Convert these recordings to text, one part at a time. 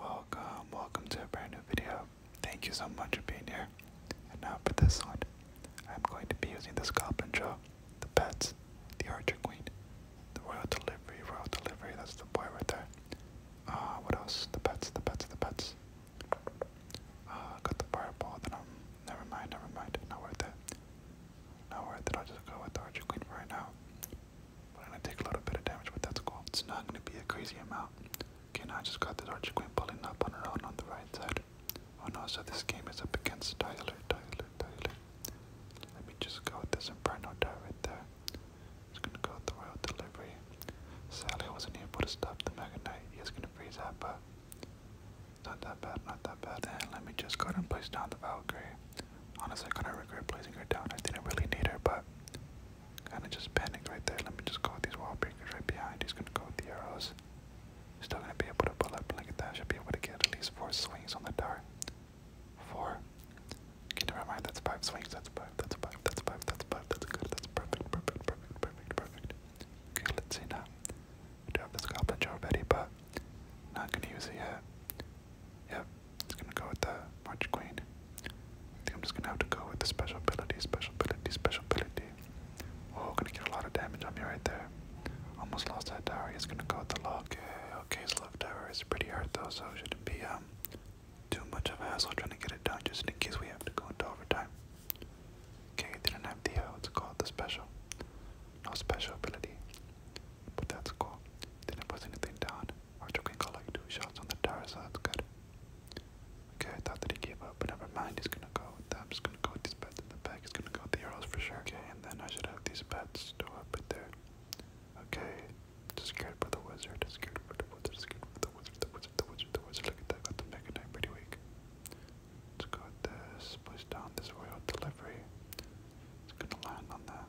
Welcome, welcome to a brand new video. Thank you so much for being here. now for this one, I'm going to be using the Goblin Jaw, the Pets, the Archer Queen, the Royal Delivery, Royal Delivery, that's the boy right there. Uh, what else? The Pets, the Pets, the Pets. Uh, got the Fireball, then I'm, never mind, never mind, not worth it. Not worth it, I'll just go with the Archer Queen right now we gonna take a little bit of damage, but that's cool. It's not gonna be a crazy amount. Okay, now I just got this Archie Queen pulling up on her own on the right side. Oh no, so this game is up against Tyler, Tyler, Tyler. Let me just go with this Inferno right there. Just gonna go with the Royal Delivery. Sadly, I wasn't able to stop the Mega Knight. gonna freeze that, but not that bad, not that bad. And let me just go and place down the Valkyrie. Honestly, kind of regret placing her down. I didn't really need her, but Gonna just panic right there. Let me just go with these wall breakers right behind. He's gonna go with the arrows. Still gonna be able to pull up. Look at that. Should be able to get at least four swings on the dart. Four. Okay, never mind. That's five swings. That's five. That's five. That's five. That's five. That's good. That's perfect. Perfect. Perfect. Perfect. Perfect. Okay, let's see now. I do have this goblin already, but not gonna use it yet. Yep, just gonna go with the March Queen. I think I'm just gonna have to go with the special ability, special ability, special ability. Oh, gonna get a lot of damage on me right there. Almost lost that tower. He's gonna go with the lock. Okay, okay, tower is pretty hard though, so shouldn't be um too much of a hassle trying to get it done just in case we have to go into overtime. Okay, didn't have the uh, what's called the special. No special ability. But that's cool. Didn't put anything down. Archer can collect two shots on the tower, so good. Okay, I thought that he gave up, but never mind. He's gonna go with that. I'm just gonna go with these bets in the back. He's gonna go with the arrows for sure. Okay, and then I should have these bets to up it there. Okay, scared by the wizard. Scared by the wizard. Scared by the wizard. The wizard. The wizard. The wizard. Look at that. Got the mega knight pretty weak. Let's go with this. Push down this royal delivery. It's gonna land on that.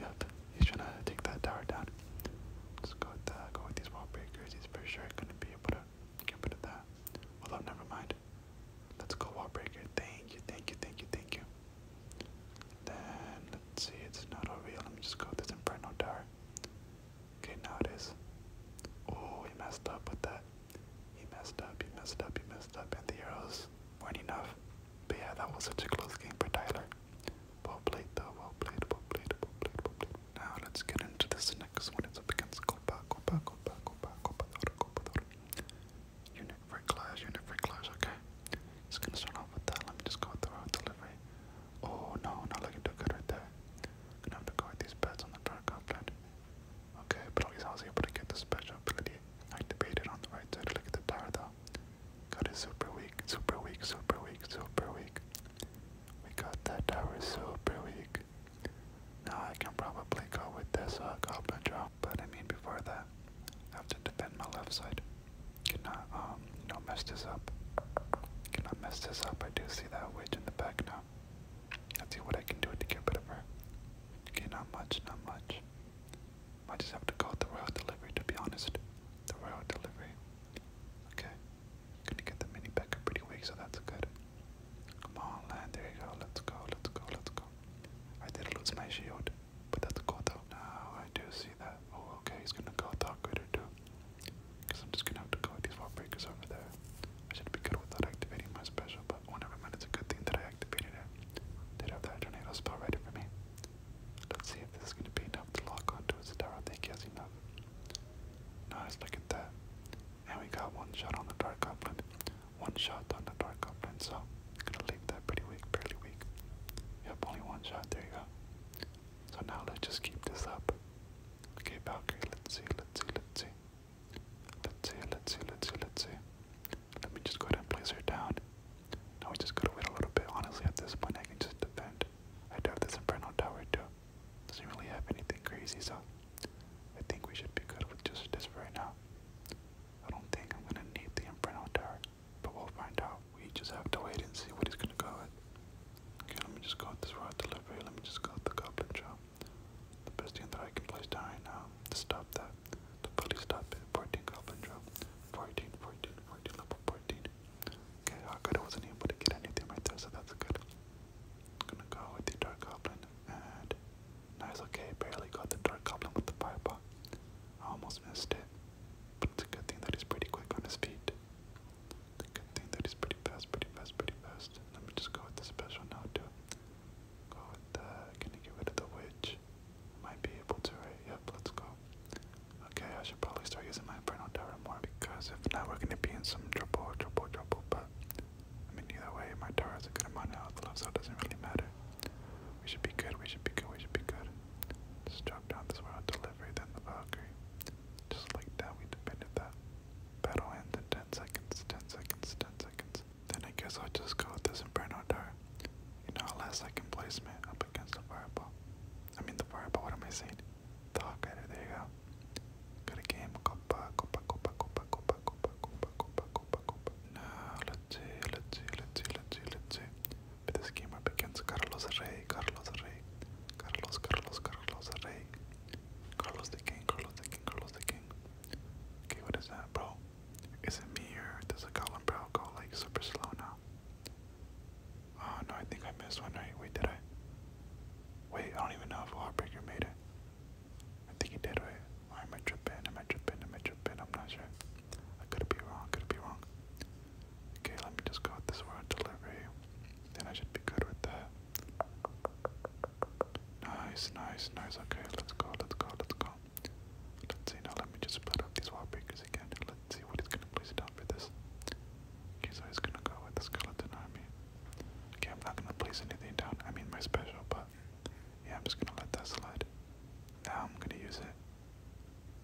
Yep, he's trying to take that tower down. Let's go with, the, go with these wall breakers. He's pretty sure going to be able to get rid of that. Although, never mind. Let's go wall breaker. Thank you, thank you, thank you, thank you. Then, let's see, it's not over here. Let me just go with this Inferno Tower. Okay, now it is. Oh, he messed up with that. He messed up, he messed up, he messed up, and the arrows weren't enough. But yeah, that was such a close game for Tyler. Well played though, well played, well played, well played, well played. Now let's get into this next one. It's up against Copa, Copa, Copa, Copa, Copa, Copa, Unit for clash, unit for clash, okay. Just gonna start off with that. Let me just go with the road Oh no, not looking too good right there. Gonna have to go these bets on the dark Okay, but he's also able to get the special ability activated on the right side. Look at the tower Got it super weak, super weak, super weak, super weak. We got that tower super weak. Now I can probably go with this i uh, goblin drop, but I mean before that, I have to defend my left side. Cannot um no mess this up. Cannot mess this up. I do see that witch in the back now. Let's see what I can do to get rid of her. Okay, not much, not much. I just have to go it the Royal Delivery to be honest. The Royal Delivery. Okay. Gonna get the mini back pretty weak, so that's good. Come on, land, there you go, let's go, let's go, let's go. I did lose my shield, but that's cool though. Now I do see that. Oh, okay, he's gonna go Thought Gritter too. Because I'm just gonna have to go with these wall breakers over there. I should be good without activating my special, but whenever oh, never mind, it's a good thing that I activated it. Did have that tornado spell ready for me. Let's see if this is going to be enough to lock onto his tower. I think he has enough. Nice, look at that. And we got one shot on the Dark Goblin. One shot on the Dark Goblin, so gonna leave that pretty weak, barely weak. You have only one shot, there you go. So now let's just keep this up. Okay, Valkyrie, let's see, let's see, let's see. Let's see, let's see, let's see, let's see. Let me just go ahead and place her down. Now we just gotta wait a little bit. Honestly, at this point, I can just defend. I do have this Inferno Tower too. Doesn't really have anything crazy, so I think we should be good with just this right now. I don't think I'm gonna need the Inferno Tower, but we'll find out. We just have to wait and see what he's gonna go with. Okay, let me just go with this Royal Delivery. Let me just go with the Goblin Drop. The best thing that I can place down right now to stop that the police stopped at 14 Goblin Drop. 14, level 14. Okay, I could I wasn't able to get anything right there, so that's good. gonna go with the Dark Goblin, and nice, okay, barely got the Dark Goblin with the fireball. almost missed it, but it's a good thing that he's pretty quick on his feet. good thing that he's pretty fast, pretty fast, pretty fast. Let me just go with the special now, too. Go with the, can I get rid of the witch? Might be able to, Yep, let's go. Okay, I should probably start using my Inferno Tower more because if not, we're gonna be in some trouble, trouble, trouble. But I mean, either way, my tower is a good amount of health so it doesn't really matter. We should be good. We should be good. We should be good. Just drop down this world delivery, then the Valkyrie. Just like that, we defended that. Battle ends in 10 seconds, 10 seconds, 10 seconds. Then I guess I'll just go with this Inferno Tower. You know, last second placement up against the fireball. I mean the fireball, what am I saying? The Hawkeye, there you go. Got a game, Copa, Copa, Copa, Copa, Copa, Copa, Copa, Copa, Copa, Copa. Now, let's see, let's see, let's see, let's see, let's see. But this game up against Carlos Rey, Carlos Rey, Carlos, Carlos, Carlos Rey. Carlos the King, Carlos the King, Carlos the King. what is that, bro? Is it me or does a column brow go like super slow now? Oh no, I think I missed one, right? Wait, did I? Wait, I don't even know if Lawbreaker made it. I think he did, right? am I tripping? Am I tripping? Am I tripping? I'm not sure. I could be wrong, could be wrong. Okay, let me just go with this word delivery. Then I should be good with that. Nice, nice, nice. Okay, let's go, let's go, let's go. Let's see, now let me just put up these wallpapers again let's see what he's gonna place down for this. Okay, so he's gonna go with the skeleton army. Okay, I'm not gonna place anything down, I mean my special, but yeah, I'm just gonna let that slide. Now I'm gonna use it.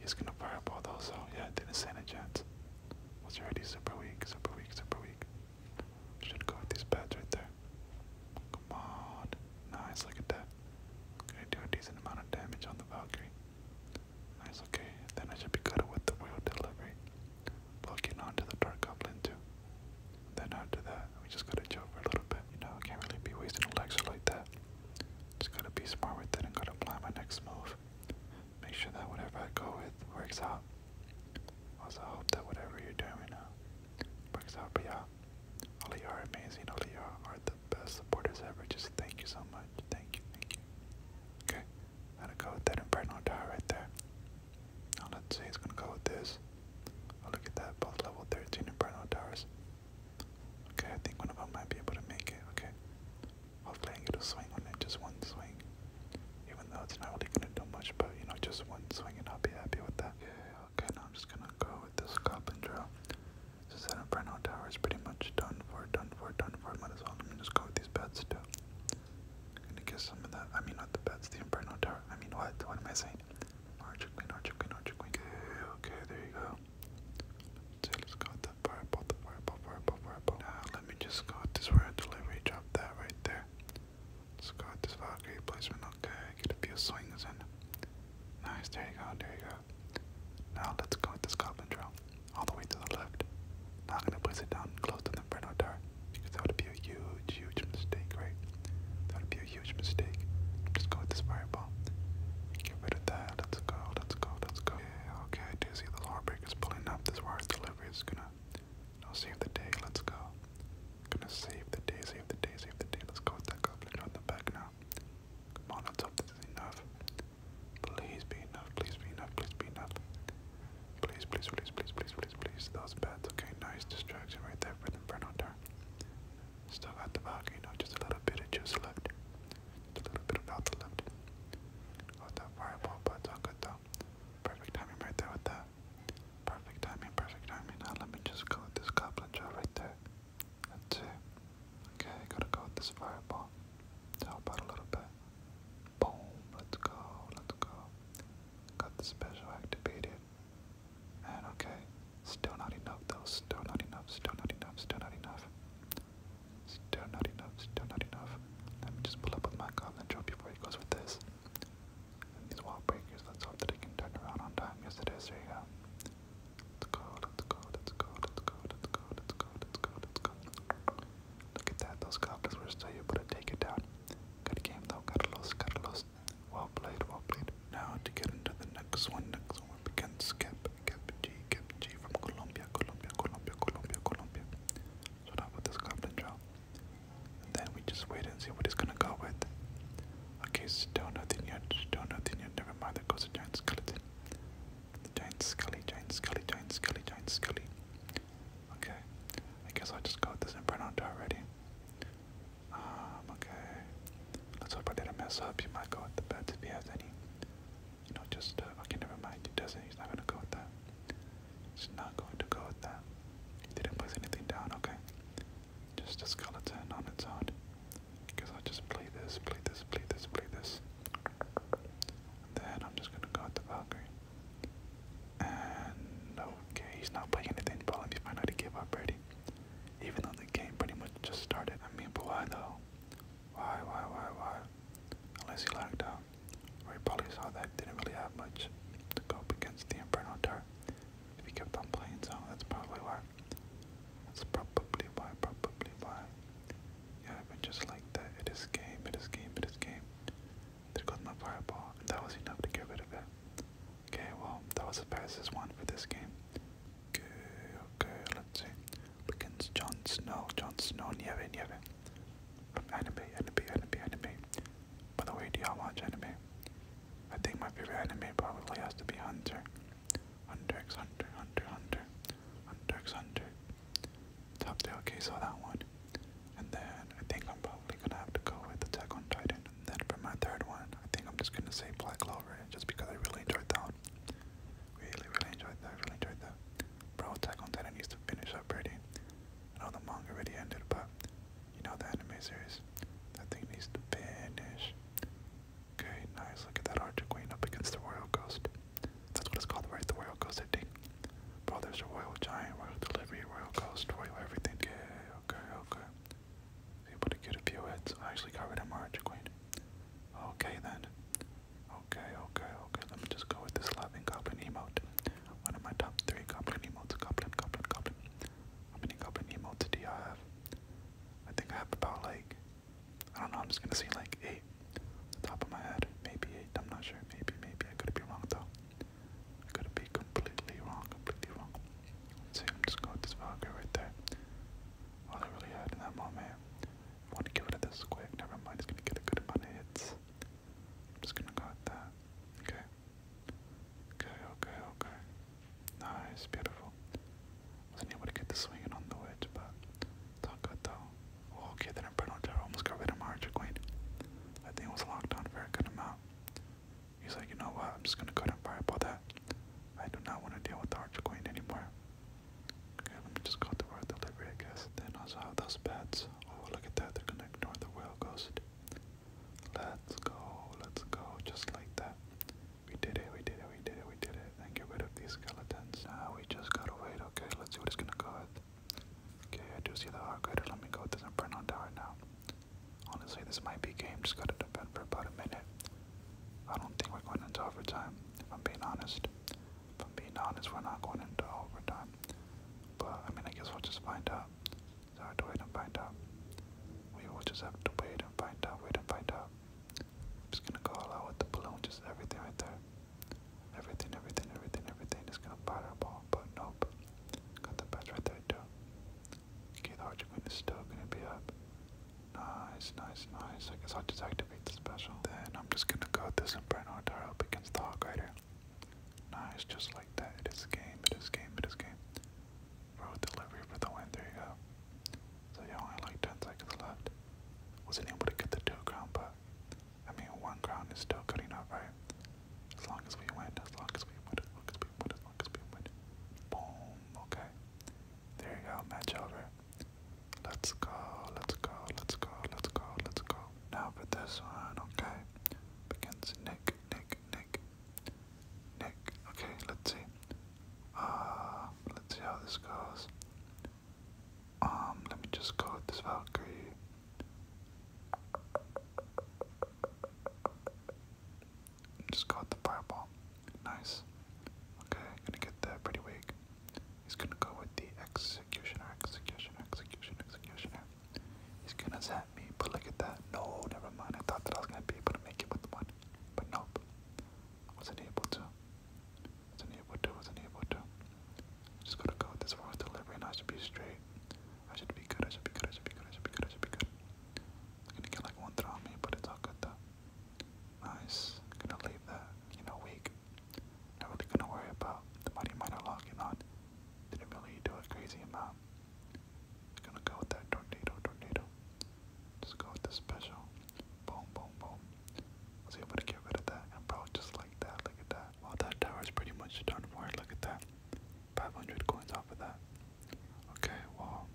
He's gonna fireball though, so yeah, didn't stand a chance. Was already super weak, super weak, super weak. Should go with these pads right there. Come on. Nice, look at that. Okay, do a decent amount of damage on the Valkyrie. Nice, okay. Then I should be good with the wheel delivery. Blocking onto the Dark Goblin too. then after that, we just gotta chill a little bit. You know, I can't really be wasting a lecture like that. Just gotta be smart with it and gotta plan my next move. Make sure that whatever I go with works out. Also, hope that whatever you're doing right uh, now works out. But yeah, all you are amazing. All you are the best supporters ever. Just thank you so much. Thank you, thank you. Okay, gotta go with that Inferno Tower right there. Now let's see, he's gonna go with this. Oh, look at that, both level 13 Inferno Towers. Okay, I think one of them might be able to make it. Okay, hopefully I can get a swing on it, just one swing. Even though it's not really gonna do much, but you know, just one swing and I'll be happy with that. Yeah, okay, now I'm just gonna go with this cup and draw. So set up right now, tower is pretty much done for, done for, done for. Might as well. Let me just go with these bets too. I'm gonna get some of that. I mean, not the bets, the Inferno Tower. I mean, what? What am I saying? Archer Queen, Archer Queen, Archer Queen. Okay, okay, there you go. So let's go with that fireball, the fireball, fireball, fireball. Now, let me just go this royal delivery. Drop that right there. Let's go this Valkyrie placement. Okay, get a few swings in. Nice, there you go, there you go. Now let's go with this Scotland all the way to the left. Not gonna place it down close to the Inferno door, because that would be a huge, huge mistake, right? That would be a huge mistake. Just go with this fireball. Get rid of that. Let's go, let's go, let's go. Yeah, okay, I do see the lawbreakers pulling up. This wire delivery is gonna no, save the day. Let's go. Gonna save the day, save the day, save the day. Let's go with that goblin on the back now. Come on, let's hope this is enough. Please be enough, please be enough, please be enough. Please, please, please, please, please, please, please. Those bats, okay, nice distraction right there for the burn on Still got the volcano, just a little bit of juice left. a little bit of alpha left. Got oh, that fireball, but it's all good though. Perfect timing right there with that. Perfect timing, perfect timing. Now let me just go this goblin jaw right there. That's Okay, gotta go with this fireball help out a little bit. Boom, let's go, let's go. Got the special activated. And okay, still not enough still not enough, still not enough, still not enough. Still not enough, still not enough. Let me just pull up with my goblin before he goes with this. And these wall breakers, let's hope that he can turn around on time. Yes it is, there you go. It's cold, it's cold, it's cold, it's cold, it's cold, it's cold, it's cold, it's cold. Look at that, those goblins were still able to take it down. Good game though, Carlos, Carlos. Well played, well played. Now to get into the next one, next one we begin skip, skip G, skip G from Colombia, Colombia, Colombia, Colombia, Colombia. So now with this goblin draw. And then we just wait and see what he's gonna go with. Okay, so don't nothing yet, don't nothing yet, never mind, there goes a giant skeleton. giant scully, giant scully, giant scully, giant scully. Okay, I guess I'll just go with this Inferno already. Um, okay. Let's hope I didn't mess up, you might go with the bets if he has any. You know, just, uh, okay, never mind, he doesn't, he's not gonna go with that. He's not going to go with that. He didn't place anything down, okay. Just a skeleton on its own. Because I just play this, play this, play this, play this. And then I'm just gonna go at Valkyrie. And okay, he's not playing anything, but let me find out to give up already. Even though the game pretty much just started. I mean, but why though? Why, why, why, why? Unless he lagged out. Or he probably saw that didn't really have much to go against the Inferno Dart. If he kept on playing, so that's probably why. That's probably why, probably why. Yeah, but just like that, it is game, it is game, it is game. There goes my fireball, and that was enough to get rid of it. Okay, well, that was the fastest one for this game. Okay, okay, let's see. Begins Jon Snow, Jon Snow, Nieve, Nieve. From anime, anime, anime, anime. By the way, do y'all watch anime? I think my favorite anime probably has to be Hunter. Hunter x Hunter, Hunter, Hunter, Hunter x Hunter. Top Tail, okay, saw that one. And then I think I'm probably gonna have to go with Attack on Titan. And then for my third one, I think I'm just gonna say Black Clover, just because I really enjoyed that one. Really, really enjoyed that, really enjoyed that. Bro, Attack on Titan needs to finish up pretty. I know the manga already ended, but you know the anime series. That thing needs to finish. Okay, nice. Look at that Archer Queen up against the Royal Ghost. That's what it's called, right? The Royal Ghost, I think. Bro, there's a Royal Giant, Royal Delivery, Royal Ghost, Royal everything. Okay, okay, okay. I was able to get a few hits. I actually got rid of my Archer Queen. Okay, then. Okay, okay, okay. Let me just go with this Laughing Goblin emote. One of my top three Goblin emotes. Goblin, Goblin, Goblin. How many Goblin emotes do you have? I think I have about like, I don't know, I'm just gonna say like eight, the top of my head, maybe eight, I'm not sure, maybe, maybe, I could be wrong though, could be completely wrong, completely wrong, see, I'm just going with this vodka right there, all I really had in that moment, want to give it a this quick, never mind, it's gonna get a good amount of hits, I'm just gonna go with that, okay, okay, okay, okay, Nice, beautiful. Wasn't able to get the swing on the wedge, but it's good though. Oh, okay, that Inferno Tower almost got rid of my Queen. I think it was locked on for good amount. He's like, you know what, I'm just gonna cut ahead and fireball that. I do not want to deal with the Archer Queen anymore. Okay, let me just go through our delivery, I guess. Then also have those bats. Oh, look at that, they're gonna ignore the Whale Ghost. Let's go, let's go, just like that. We did it, we did it, we did it, we did it. And get rid of these skeletons. Ah, we just gotta wait, okay? Let's see what it's gonna go with. Okay, I do see the hard grader. Let me go with this Inferno Tower now. Honestly, this might be game. Just gotta defend for about a minute. I don't think we're going into overtime, if I'm being honest. If I'm being honest, we're not going into overtime. But, I mean, I guess we'll just find out. It's hard to wait and find out. We will just have to wait and find out, wait and find out i just gonna go all out with the balloon, just everything right there. Everything, everything, everything, everything. Just gonna fireball, but nope. Got the patch right there too. Okay, the archer queen is still gonna be up. Nice, nice, nice. I guess I'll just activate the special. Then I'm just gonna go with this Inferno Tower up against the Hawk Rider. Nice, just like that. It is game, it is game, it is game. Road delivery for the win. There you go. So you only like 10 seconds left. Wasn't able to get the two ground, but I mean, one ground is still cutting enough, right? As long as we win, as long as we win, as long as we win, as long as we win. Boom. Okay. There you go. Match over. Let's go, let's go, let's go, let's go, let's go. Now for this one, okay. Begins Nick, Nick, Nick. Nick. Okay, let's see. Uh, let's see how this goes. Um, let me just go with this Valkyrie. Just go the fireball. Nice. Okay, gonna get that pretty weak. He's gonna go with the executioner, executioner, executioner, executioner. He's gonna zap me, but look at that. No, never mind. I thought that I was gonna be able to make it with the one, but nope. Wasn't able to. Wasn't able to. Wasn't able to. Just gotta go with this raw delivery, and I should be straight. I should be good. I should be good. I should be good. I should be good. I should be good. I'm gonna get like one throw on me, but it's all good though. Nice. I'm gonna leave that, you know, weak. Not really gonna worry about the money minor locking on. Didn't really do a crazy amount gonna go with that tornado, tornado. Just go with the special. Boom, boom, boom. was able to get rid of that, and bro, just like that, look at that. Well, that tower is pretty much done for look at that. 500 coins off of that. Okay, well,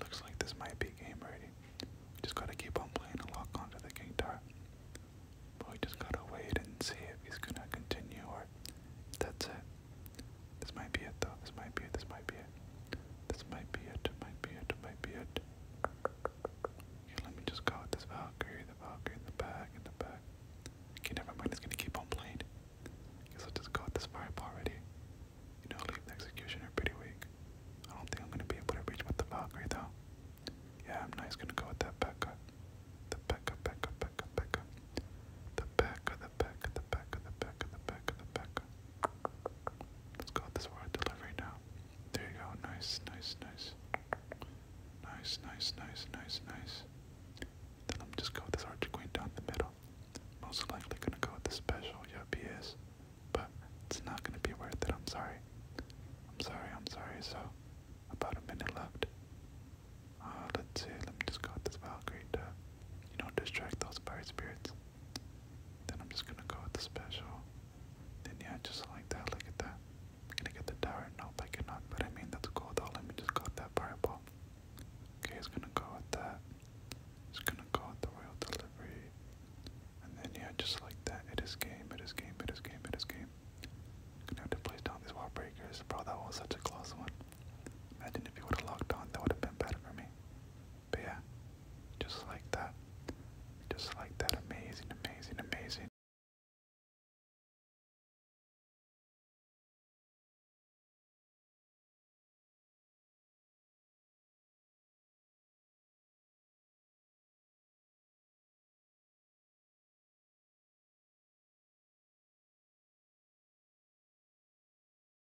looks like this might be game ready. Just gotta keep on playing and lock onto the king tower. But we just gotta wait and see if he's gonna continue or that's it. This might be it though. This might be it. This might be it. This might be it. Might be it. Might be it. Here, let me just go with this Valkyrie, the Valkyrie in the back, in the back. Okay, never mind. It's gonna keep on playing. Guess I'll just go with this fireball already. You know, leave the executioner pretty weak. I don't think I'm gonna be able to reach with the Valkyrie though. Yeah, I'm not. He's gonna go with that Becca. The Becca, Becca, Becca, Becca. The Becca, back of the back of the back of the back of the back. Let's go with this word delivery now. There you go. Nice, nice, nice. Nice, nice, nice, nice, nice. Then I'm just go with this archer queen down the middle. Most likely gonna go with the special, yep But it's not gonna be worth it, I'm sorry. I'm sorry, I'm sorry, so about a minute left. Uh let's see, let me just go with this Valkyrie to you know distract those fire spirits. Then I'm just gonna go with the special. Then yeah, just like that, look at that. I'm gonna get the tower. Nope, I cannot, but I mean, that's cool though. Let me just go with that fireball. Okay, it's gonna go with that. It's gonna go with the royal delivery. And then yeah, just like that. It is game, it is game, it is game, it is game. Gonna have to place down these wall breakers. Bro, that was such a close one. Imagine if you would have locked on, that would have been better for me. But yeah, just like that. Just like that. Amazing, amazing, amazing.